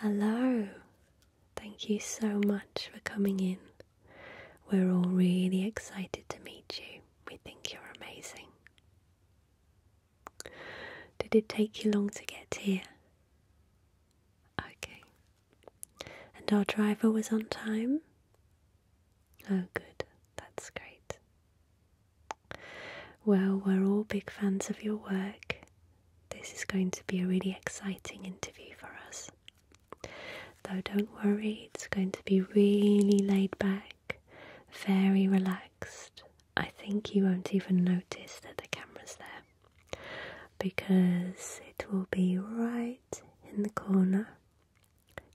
Hello, thank you so much for coming in. We're all really excited to meet you. We think you're amazing. Did it take you long to get here? Okay. And our driver was on time? Oh, good, that's great. Well, we're all big fans of your work. This is going to be a really exciting interview for us. Though, don't worry, it's going to be really laid back, very relaxed. I think you won't even notice that the camera's there because it will be right in the corner.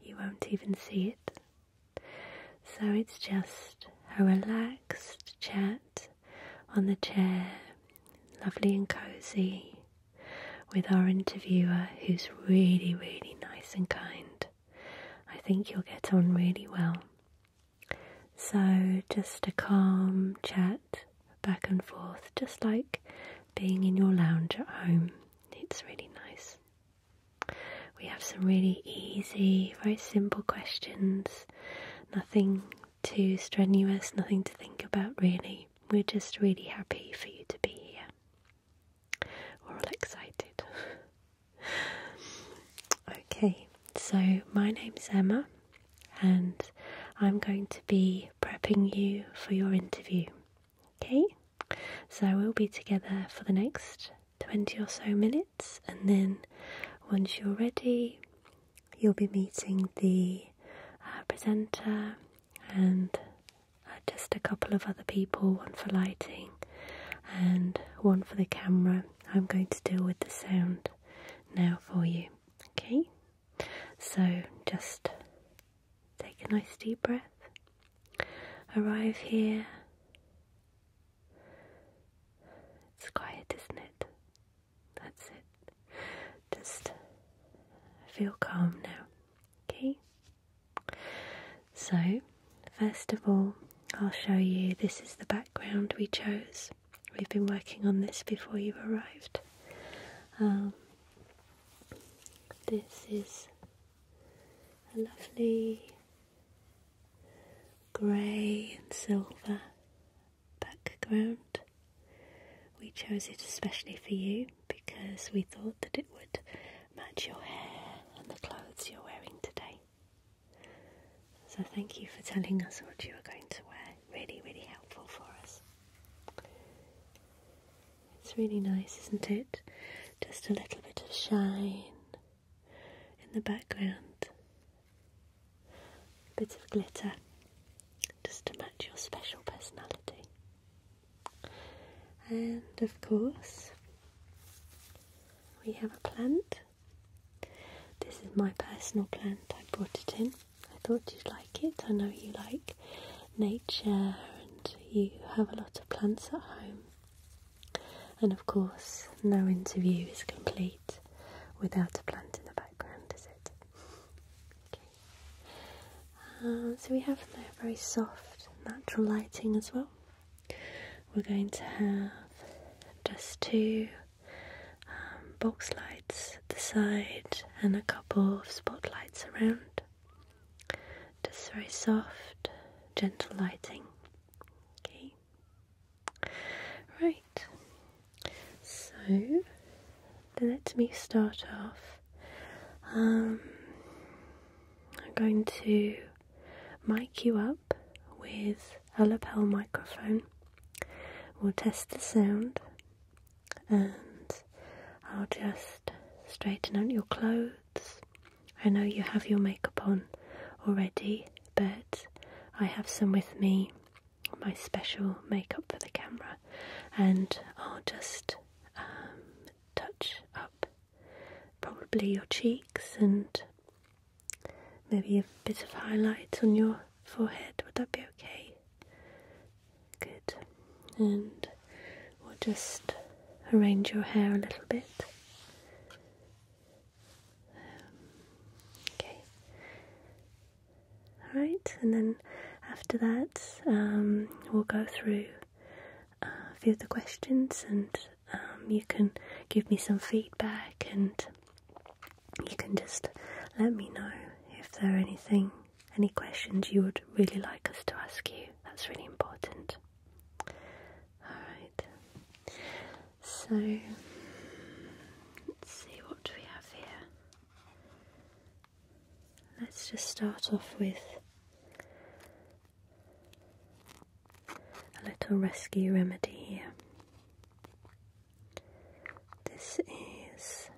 You won't even see it. So, it's just a relaxed, relaxed chat on the chair, lovely and cozy, with our interviewer who's really, really nice and kind. I think you'll get on really well. So, just a calm chat back and forth, just like being in your lounge at home. It's really nice. We have some really easy, very simple questions nothing too strenuous, nothing to think about really. We're just really happy for you to be here. We're all excited. okay, so my name's Emma, and I'm going to be prepping you for your interview. Okay, so we'll be together for the next 20 or so minutes, and then once you're ready, you'll be meeting the uh, presenter and uh, just a couple of other people one for lighting and one for the camera. I'm going to deal with the sound now for you. Okay, so just take a nice deep breath, arrive here it's quiet, isn't it? That's it. Just feel calm now, okay? So, first of all, I'll show you this is the background we chose. We've been working on this before you arrived. Um, this is a lovely grey and silver background. We chose it especially for you because we thought that it would match your hair and the clothes you're wearing today. So thank you for telling us what you are going to wear. Really, really helpful for us. It's really nice, isn't it? Just a little bit of shine in the background. A bit of glitter just to match your special personality. And of course, we have a plant. This is my personal plant, I brought it in. I thought you'd like it. I know you like nature and you have a lot of plants at home. And of course, no interview is complete without a plant in the background, is it? Okay. Uh, so we have there very soft, natural lighting as well. We're going to have just two um, box lights at the side and a couple of spotlights around. Just very soft, gentle lighting. Okay. Right, so let me start off. Um, I'm going to mic you up with a lapel microphone. We'll test the sound and I'll just straighten out your clothes. I know you have your makeup on already, but I have some with me my special makeup for the camera, and I'll just um, touch up probably your cheeks and maybe a bit of highlights on your forehead. Would that be okay? Good. And we'll just arrange your hair a little bit okay. All right, and then after that, um, we'll go through uh, a few of the questions, and um, you can give me some feedback, and you can just let me know if there are anything, any questions you would really like us to ask you. That's really important. All right. So let's see what we have here. Let's just start off with a little rescue remedy here. This is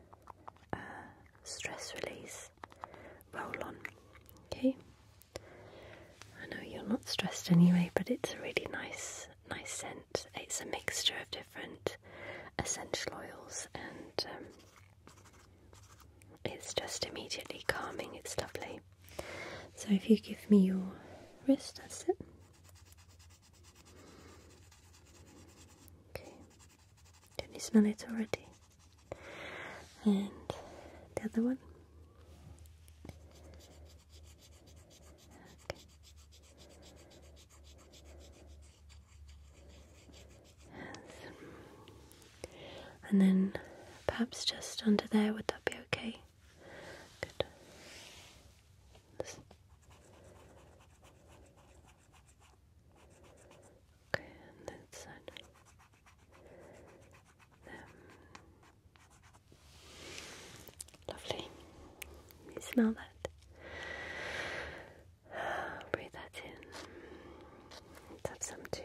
a stress release roll on. Okay, I know you're not stressed anyway, but it's a really nice nice scent. It's a mixture of different essential oils and um, it's just immediately calming. It's lovely. So if you give me your wrist, that's it. Okay. Can you smell it already? And the other one. And then perhaps just under there, would that be okay? Good. Okay, and then Lovely. You smell that? Breathe that in. let some too.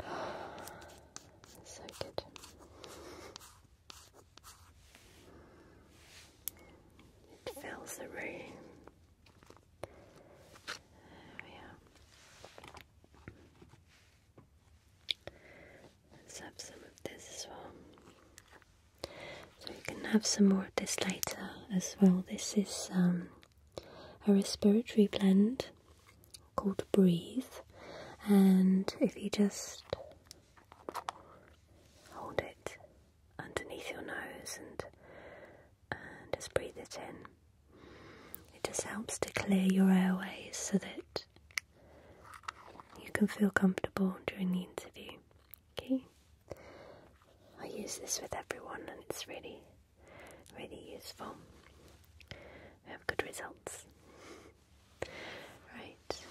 So good. It fills the room. There we are. Let's have some of this as well. So you can have some more of this later as well. This is um, a respiratory blend called Breathe. And if you just hold it underneath your nose and just breathe it in. It just helps to clear your airways so that you can feel comfortable during the interview. Okay? I use this with everyone and it's really, really useful. We have good results. Right,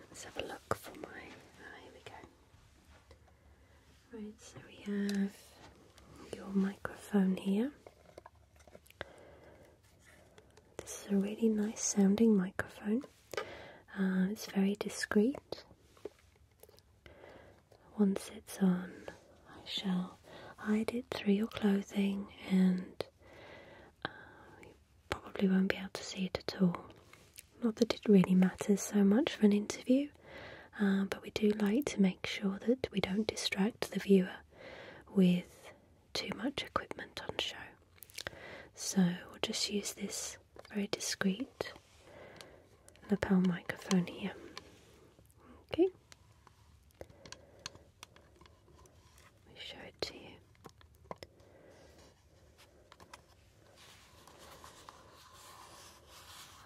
let's have a look for my. Ah, here we go. Right, so we have your microphone here. This is a really nice sounding microphone. Uh, it's very discreet. Once it's on, I shall hide it through your clothing and you uh, probably won't be able to see it at all. Not that it really matters so much for an interview, uh, but we do like to make sure that we don't distract the viewer with too much equipment on show. So we'll just use this very discreet lapel microphone here. Okay. Let me show it to you.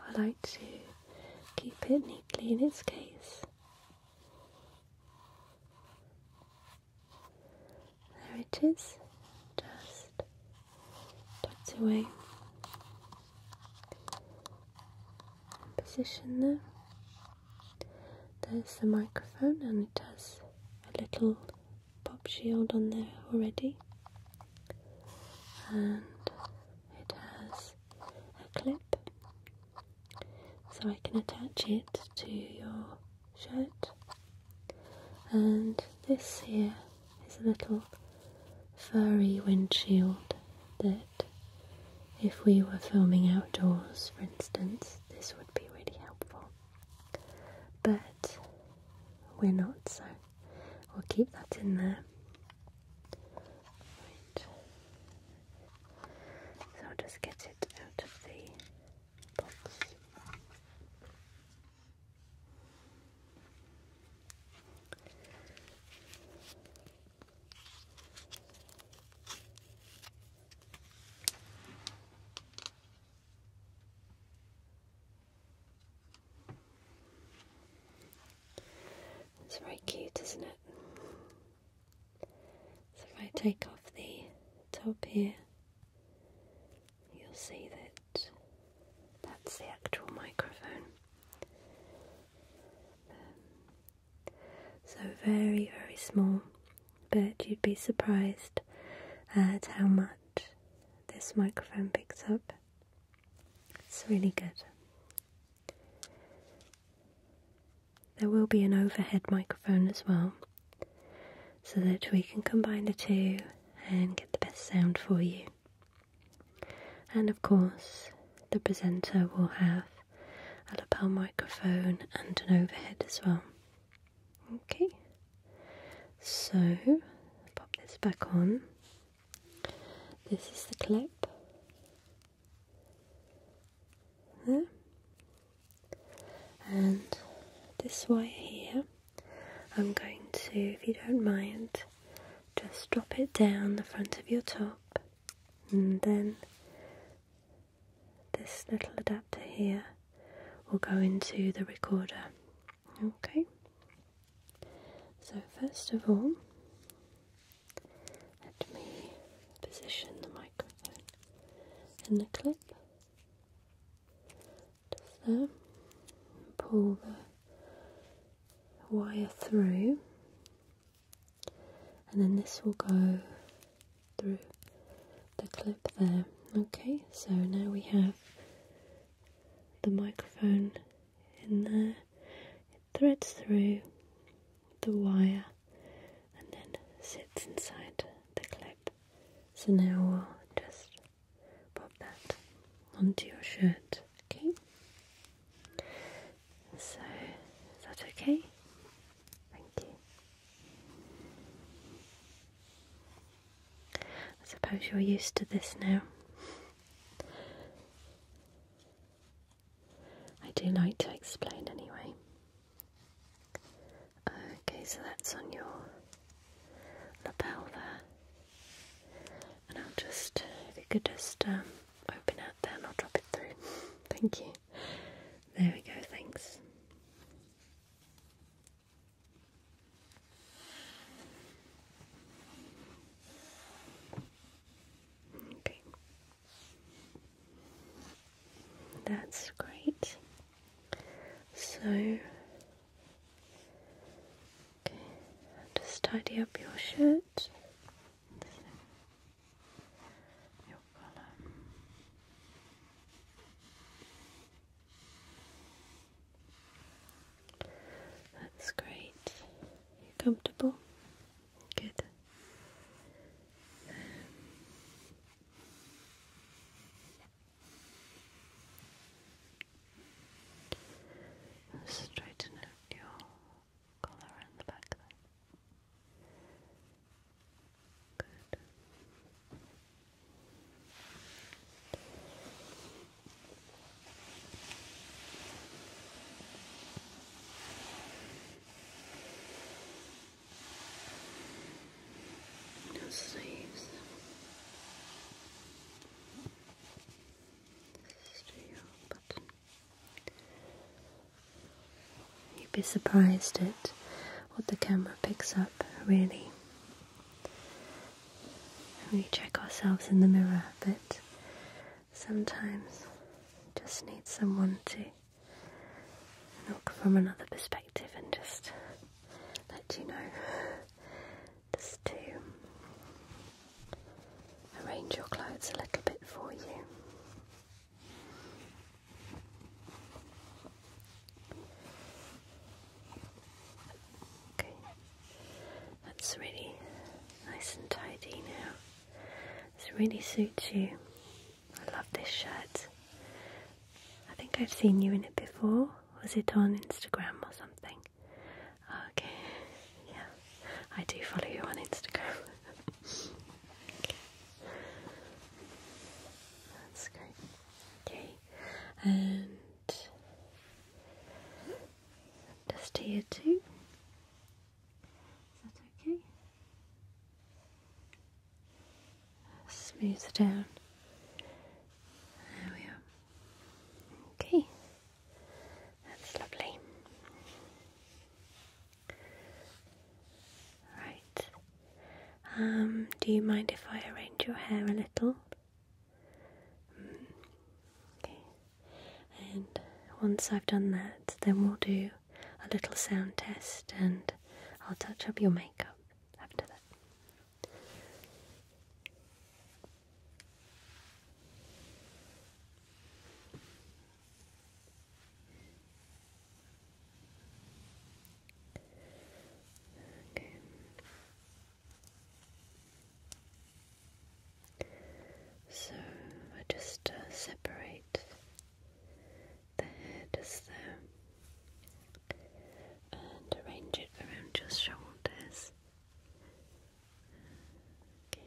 I like to keep it neatly in its case there it is, just tucked away. Position there. There's the microphone, and it has a little pop shield on there already, and it has a clip so I can attach it to your shirt. And this here is a little furry windshield that, if we were filming outdoors, for instance, this would be really helpful. But we're not, so we'll keep that in there. So just get it out of the box. It's very cute, isn't it? So if I take off the top here, you'll see that that's the actual microphone. so very, very small, but you'd be surprised at how much this microphone picks up. It's really good. There will be an overhead microphone as well, so that we can combine the two and get the best sound for you. And of course, the presenter will have a lapel microphone and an overhead as well. Okay, so pop this back on. This is the clip and this wire here, I'm going to, if you don't mind, just drop it down the front of your top, and then this little adapter here will go into the recorder. Okay? So, first of all, let me position the microphone in the clip just there. Pull the wire through, and then this will go through the clip there. Okay, so now we have the microphone in there, it threads through the wire and then sits inside the clip. So now we'll just pop that onto your shirt, okay? So, is that okay? Thank you. I suppose you're used to this now. I do like to explain anyway. Okay, so that's on your lapel there. And I'll just, if you could just um, open out there and I'll drop it through. Thank you. There we go, thanks. Okay. That's great. So, just tidy up your shirt. your collar. That's great. You're comfortable? Good. straighten out your collar around the back Good. No sleeves. This is your button. You'd be surprised at what the camera picks up, really. We check ourselves in the mirror, a bit sometimes just need someone to look from another perspective and just let you know just to arrange your clothes a little bit for you. Okay, that's really nice and tidy now. This really suits you. I love this shirt. I think I've seen you in it before. Was it on Instagram or something? Okay, yeah, I do follow you on Instagram. That's great. Okay, and just here too. Is that okay? Smooth down. There we are. Okay, that's lovely. Right. Um, do you mind if I arrange your hair a little? Mm. Okay. And once I've done that, then we'll do a little sound test and I'll touch up your makeup after that. Okay. So I just uh, separate the hair just so, and arrange it around your shoulders. Okay.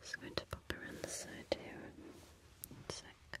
Just going to pop around the side here one sec.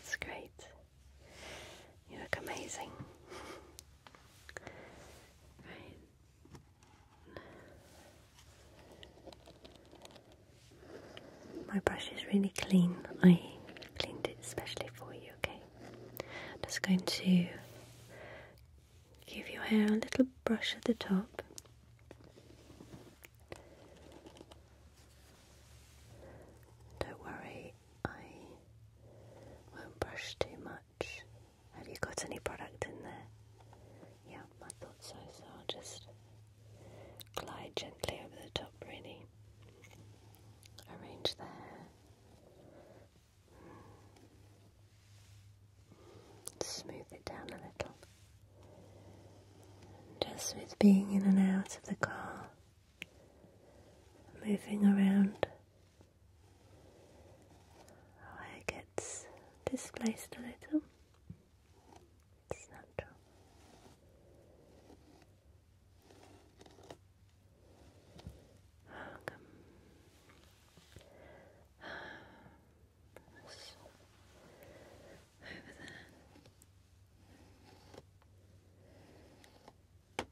It's great. You look amazing. My brush is really clean. I cleaned it especially for you, okay? just going to give your hair a little brush at the top. Don't worry, I won't brush too much. Have you got any product in there? Yeah, I thought so, so I'll just glide gently over the top, really. Arrange the hair. Smooth it down a little. Just with being in and out of the car, moving around, our hair gets displaced a little. It's natural. Welcome over there.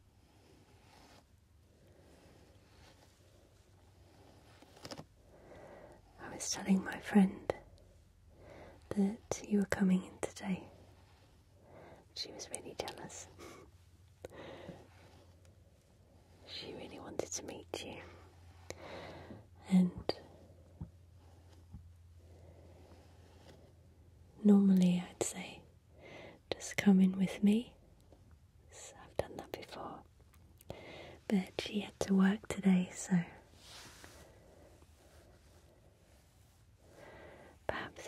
I was telling my friend that you were coming in today. She was really jealous. she really wanted to meet you. And Normally, I'd say, just come in with me. I've done that before. But she had to work today, so perhaps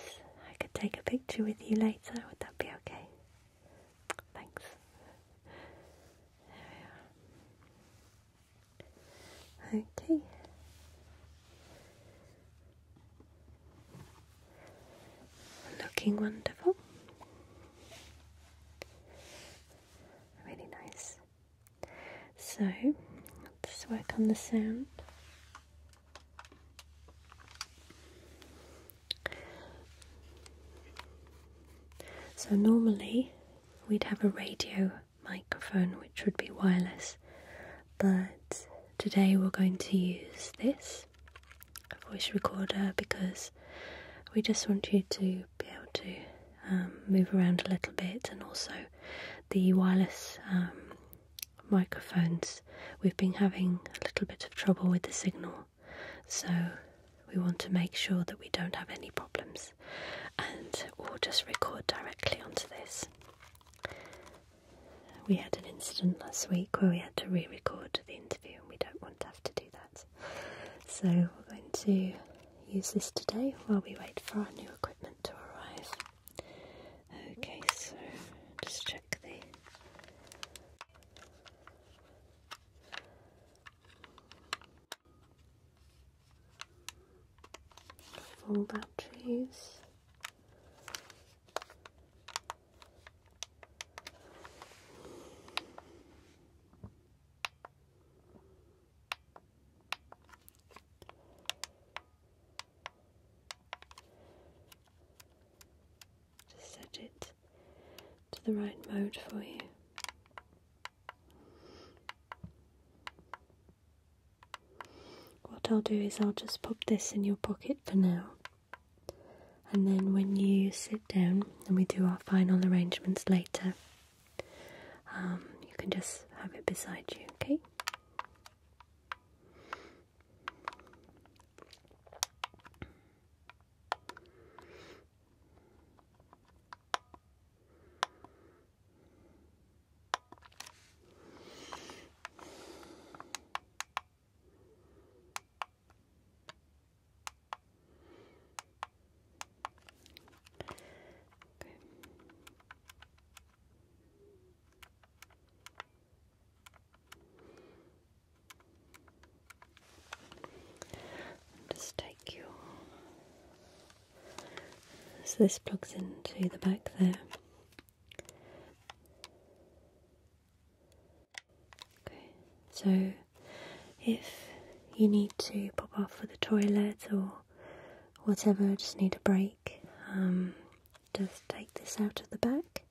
I could take a picture with you later. Would that be okay? Thanks. There we are. Okay. Looking wonderful. Really nice. So, let's work on the sound. So normally we'd have a radio microphone, which would be wireless, but today we're going to use this voice recorder because we just want you to be able to um, move around a little bit and also the wireless um, microphones we've been having a little bit of trouble with the signal so we want to make sure that we don't have any problems and we'll just record directly onto this. We had an incident last week where we had to re record the interview and we don't want to have to do that. So we're going to use this today while we wait for our new equipment to arrive. Okay, so just check the full batteries. Just set it to the right mode for you. What I'll do is I'll just pop this in your pocket for now, and then when you sit down and we do our final arrangements later, um, you can just have it beside you, okay? Okay. Just take your so this plugs into the back there. so if you need to pop off for the toilet or whatever, just need a break, um, just take this out of the back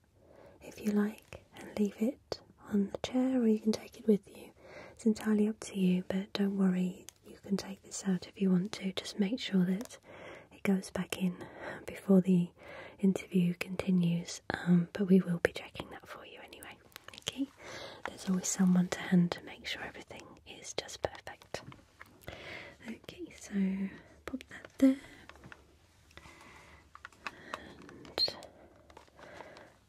if you like and leave it on the chair or you can take it with you. It's entirely up to you, but don't worry, you can take this out if you want to, just make sure that it goes back in before the interview continues, um, but we will be checking that for you anyway, okay? There's always someone to hand to make sure everything is just perfect. Okay, so pop that there. And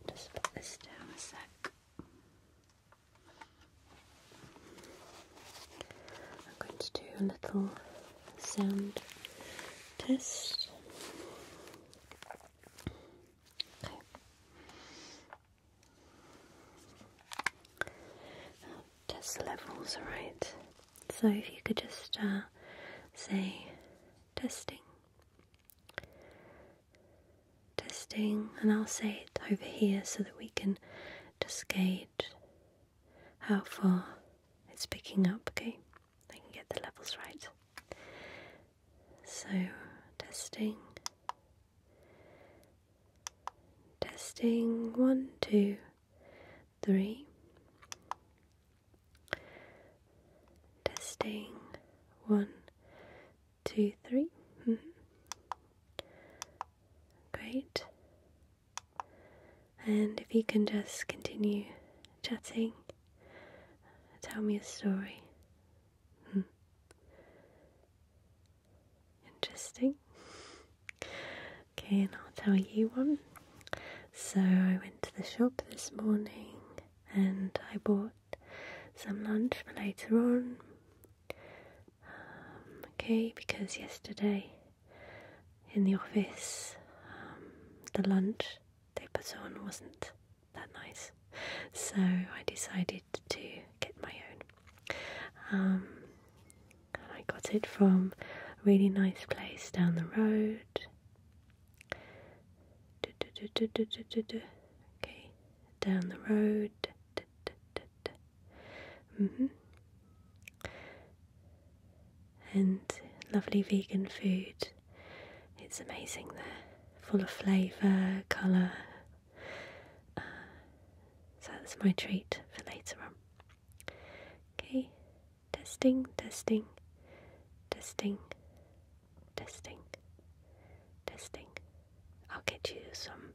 just put this down a sec. I'm going to do a little sound test. test levels, right? So if you could just uh, say testing testing, and I'll say it over here so that we can just gauge how far it's picking up, okay? I can get the levels right. So, testing, testing, one, two, three, testing, one, two, three. Mm-hmm. Great. And if you can just continue chatting, tell me a story. Hmm. Interesting. Okay, and I'll tell you one. So I went to the shop this morning and I bought some lunch for later on um, okay, because yesterday in the office, um, the lunch they put on wasn't that nice, so I decided to get my own. Um, I got it from a really nice place down the road. Okay, down the road. Mm-hmm. And lovely vegan food. It's amazing there, full of flavour, colour. Uh, so that's my treat for later on. Okay, testing, testing, testing, testing, testing. I'll get you some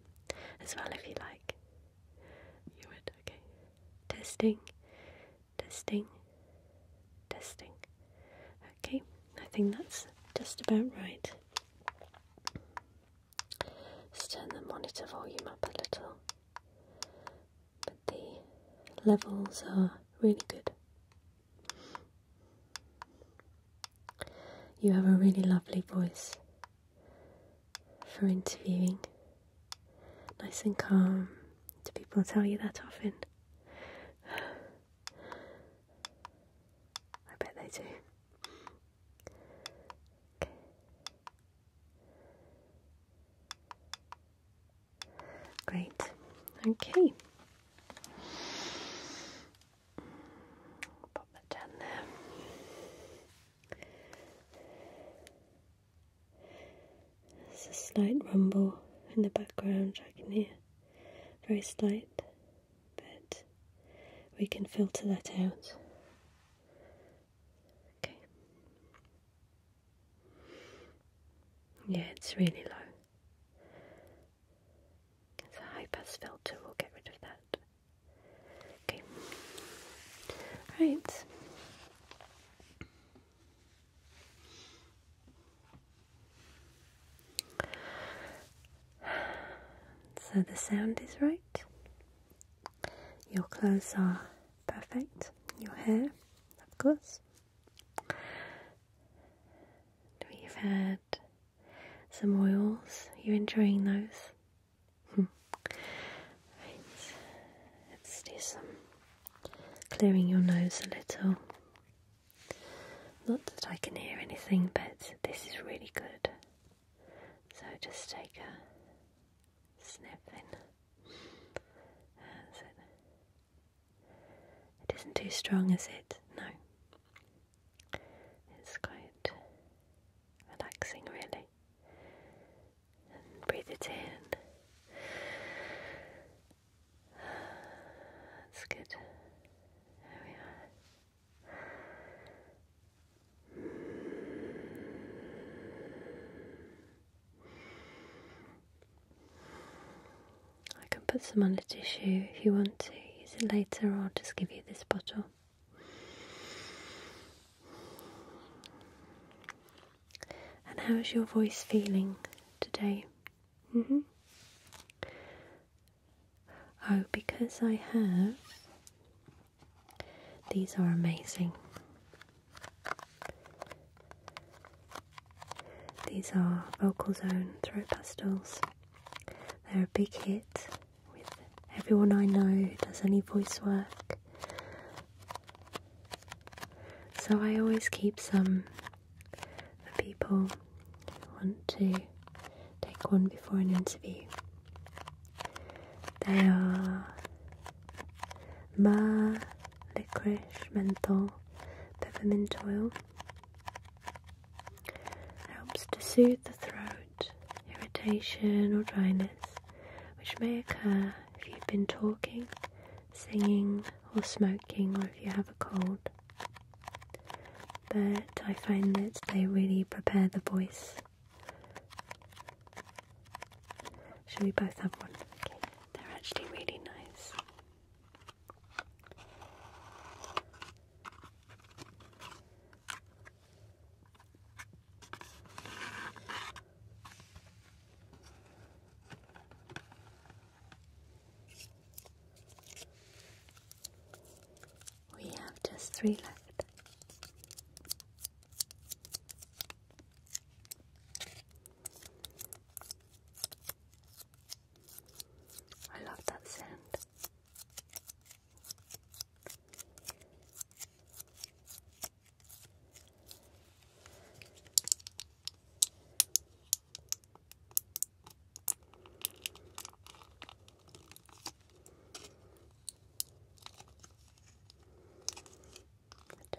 as well if you like. You would, okay. Testing, testing, testing. Okay, I think that's just about right. Let's turn the monitor volume up a little. But the levels are really good. You have a really lovely voice for interviewing. Nice and calm. Do people tell you that often? I bet they do. Great. Okay. Pop that down there. There's a slight rumble in the background I can hear. Very slight, but we can filter that out. Okay. Yeah, it's really low. It's a high pass filter, we'll get rid of that. Okay. All right. So the sound is right. Your clothes are perfect. Your hair, of course. We've had some oils. You're enjoying those right. Hmm. Let's do some clearing your nose a little. Not that I can hear anything, but this is really good. So just take a sniff in. It isn't too strong, is it? No. It's quite relaxing, really. And breathe it in. That's good. There we are. I can put some on the tissue if you want to use it later, I'll just give you this bottle. And how's your voice feeling today? Mm-hmm. Oh, because I have. These are amazing. These are Vocal Zone Throat Pastels. They're a big hit with everyone I know does any voice work. So I always keep some for people who want to take one before an interview. They are ma, licorice, menthol, peppermint oil. Helps to soothe the throat irritation, or dryness, which may occur if you've been talking, singing, or smoking, or if you have a cold. But I find that they really prepare the voice. Should we both have one? they're actually really nice. We have just three left. I love that sound.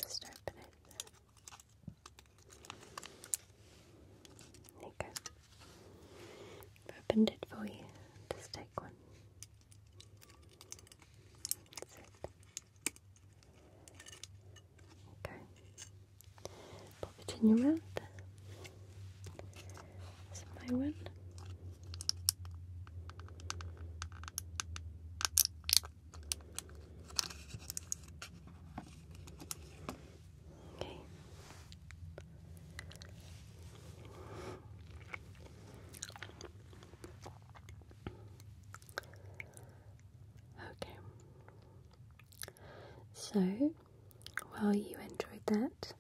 Just open it. There I've opened it for you. Just take one. That's Okay. Pop it in your mouth. That's Okay. Okay. So, well, you enjoyed that,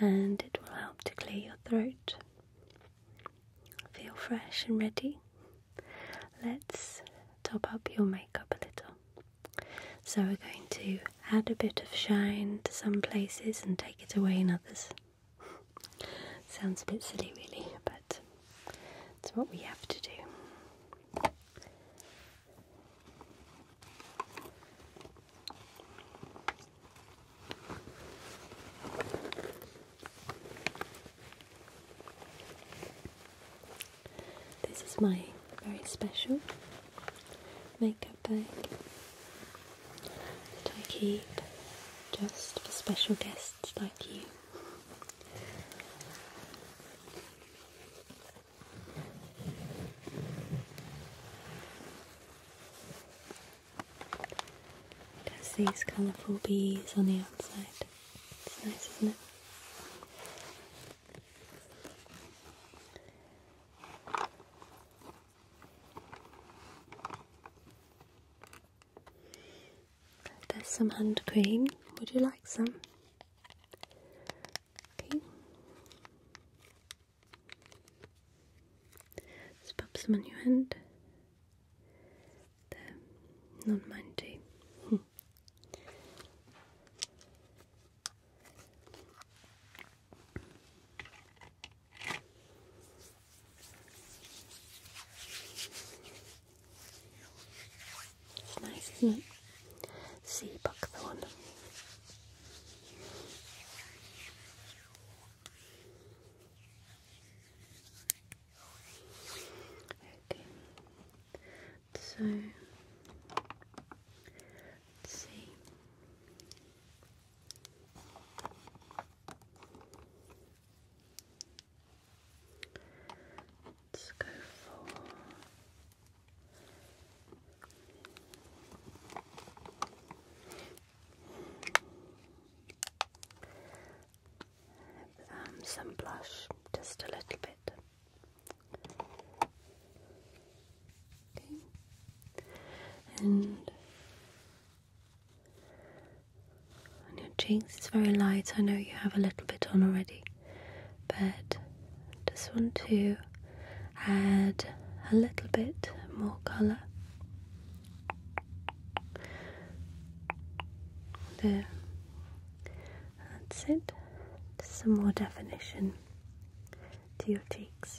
and it will help to clear your throat. Feel fresh and ready. Let's top up your makeup a little. So, we're going to add a bit of shine to some places and take it away in others. Sounds a bit silly, really, but it's what we have to do. This is my very special makeup bag I keep just for special guests like you. It has these colourful bees on the outside. It's nice, isn't it? There's some hand cream. Would you like some? Okay. Just pop some on your hand. There. Not mine too. Hmm. It's nice, isn't it? Sea buckthorn. Okay. So see. Let's go for um, some blush, just a little bit. And on your cheeks, it's very light. I know you have a little bit on already, but just want to add a little bit more colour. There. That's it. Just some more definition to your cheeks.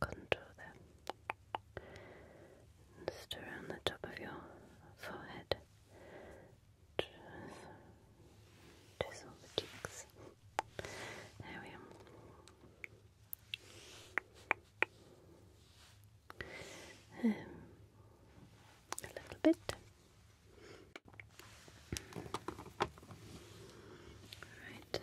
contour there. Just around the top of your forehead. Just tizzle the cheeks. There we are. Um, a little bit. Right.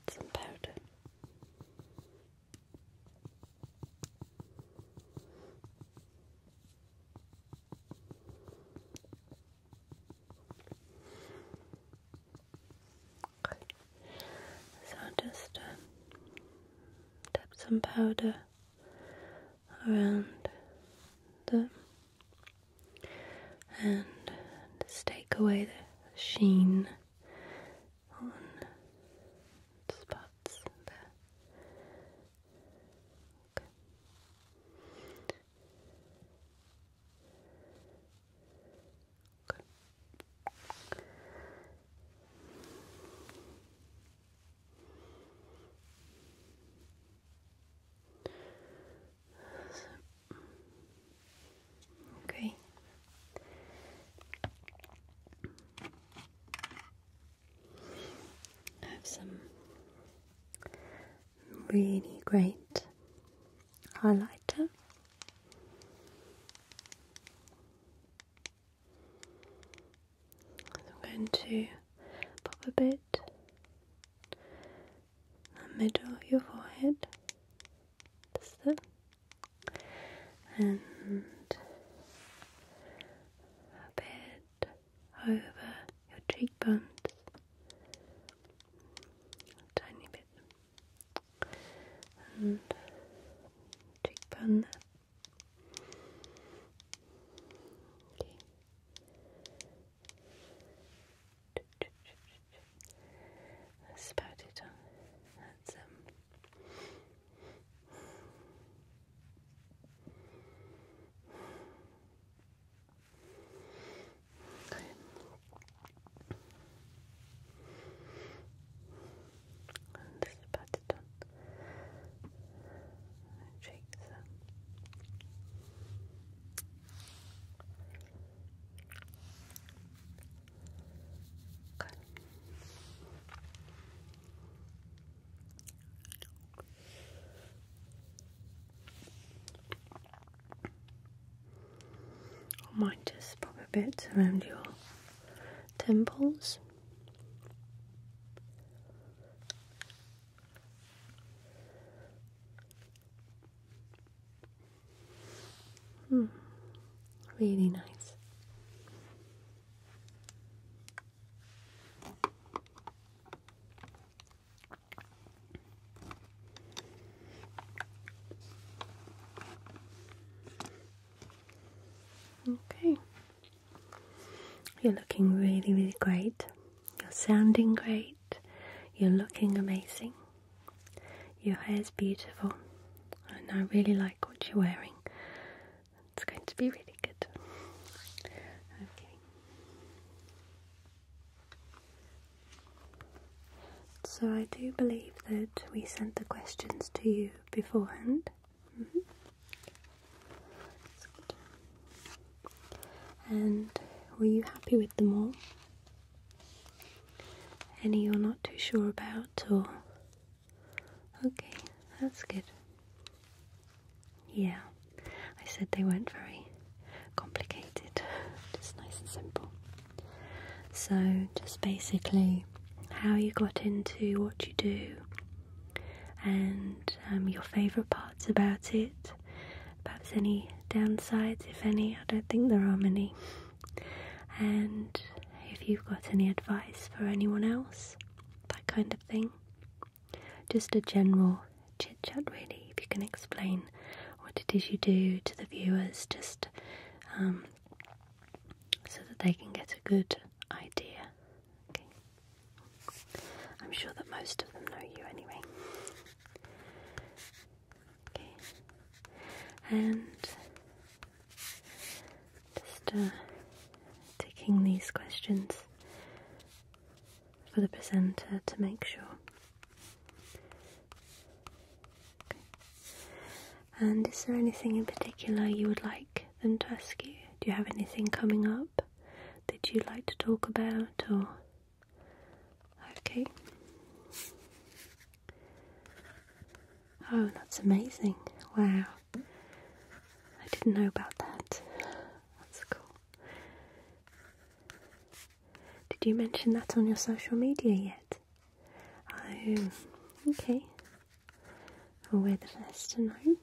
It's powder. Okay. So just um, tap some powder around the and just take away the sheen on spots there. Okay. I have some really great highlighter. I'm going to pop a bit in the middle of your forehead. That's it. And a bit over your cheekbones. tiny bit. And cheekbone there. Okay. about it That's um. Okay. And this it on my Okay. I might just pop a bit around your temples. Hmm. Really nice. Okay. You're looking really, really great. You're sounding great. You're looking amazing. Your hair is beautiful. And I really like what you're wearing. It's going to be really good. Okay. So I do believe that we sent the questions to you beforehand. Mm-hmm. And were you happy with them all? Any you're not too sure about, or okay, that's good. Yeah, I said they weren't very complicated, just nice and simple. So, just basically how you got into what you do, and um, your favourite parts about it. Perhaps any downsides, if any. I don't think there are many. And if you've got any advice for anyone else, that kind of thing. Just a general chit chat, really. If you can explain what it is you do to the viewers, just um, so that they can get a good idea. I'm sure that most of them know you anyway. Okay. And just uh, these questions for the presenter to make sure. And is there anything in particular you would like like them ask you? Do you have anything coming up that you'd like to talk about or okay? Oh, that's amazing. Wow. I didn't know about that. That's cool. Did you mention that on your social media yet? Oh, okay. I'll wear the vest tonight.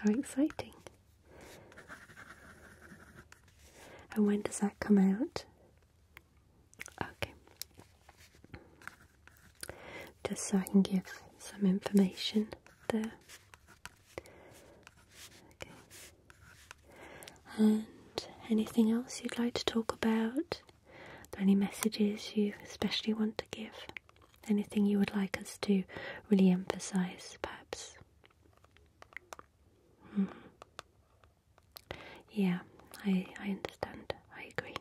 How exciting! And when does that come out? Okay. Just so I can give some information there. Okay. And anything else you'd like to talk about? Are there any messages you especially want to give? Anything you would like us to really emphasize, perhaps? Hmm. Yeah, I, I understand. I agree.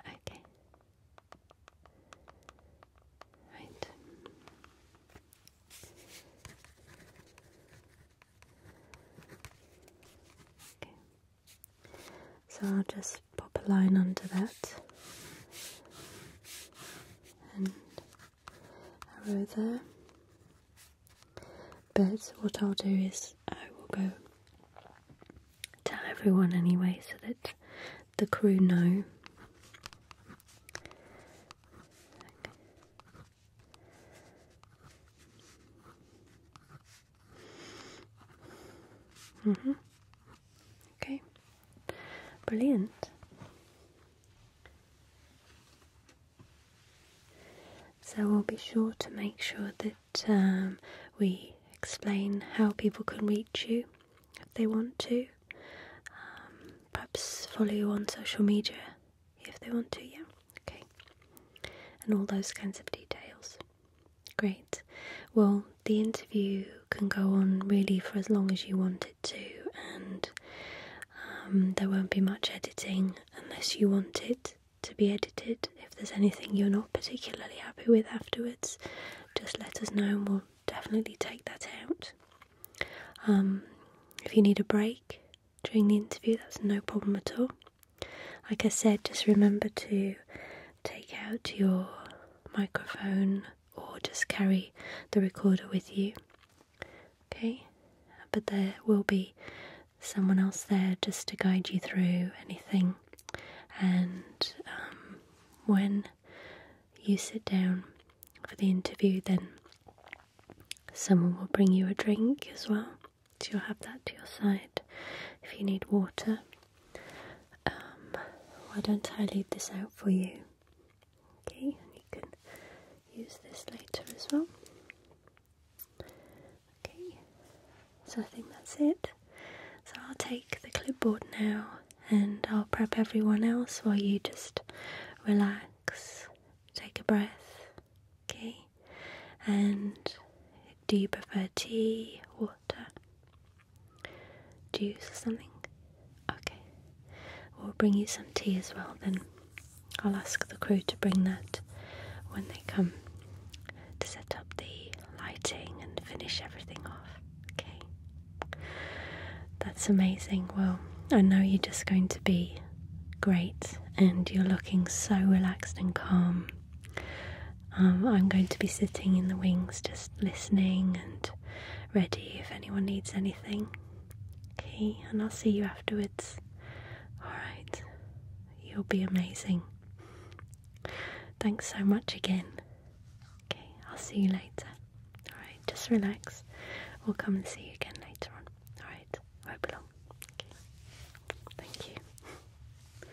Okay. Right. Okay. So I'll just pop a line under that and arrow there. But what I'll do is I will go tell everyone anyway so that the crew know. Mm -hmm. Okay, brilliant. So we'll be sure to make sure that um, we explain how people can reach you if they want to. Um, perhaps follow you on social media if they want to, yeah. Okay. And all those kinds of details. Great. Well, the interview can go on really for as long as you want it to, and um, there won't be much editing unless you want it to be edited. If there's anything you're not particularly happy with afterwards, just let us know and we'll definitely take that out. Um, if you need a break during the interview, that's no problem at all. Like I said, just remember to take out your microphone or just carry the recorder with you. Okay, but there will be someone else there just to guide you through anything. And um, when you sit down for the interview, then someone will bring you a drink as well so you'll have that to your side if you need water. Um, why don't I leave this out for you? Okay, and you can use this later as well. Okay, so I think that's it. So I'll take the clipboard now and I'll prep everyone else while you just relax, take a breath, okay? And do you prefer tea, water, water. Juice or something? Okay. We'll bring you some tea as well then. I'll ask the crew to bring that when they come to set up the lighting and finish everything off. Okay. That's amazing. Well, I know you're just going to be great and you're looking so relaxed and calm. Um, I'm going to be sitting in the wings just listening and ready if anyone needs anything. Okay, and I'll see you afterwards. Alright, you'll be amazing. Thanks so much again. Okay, I'll see you later. Alright, just relax. We'll come and see you again later on. Alright, hope you're Okay. Thank you.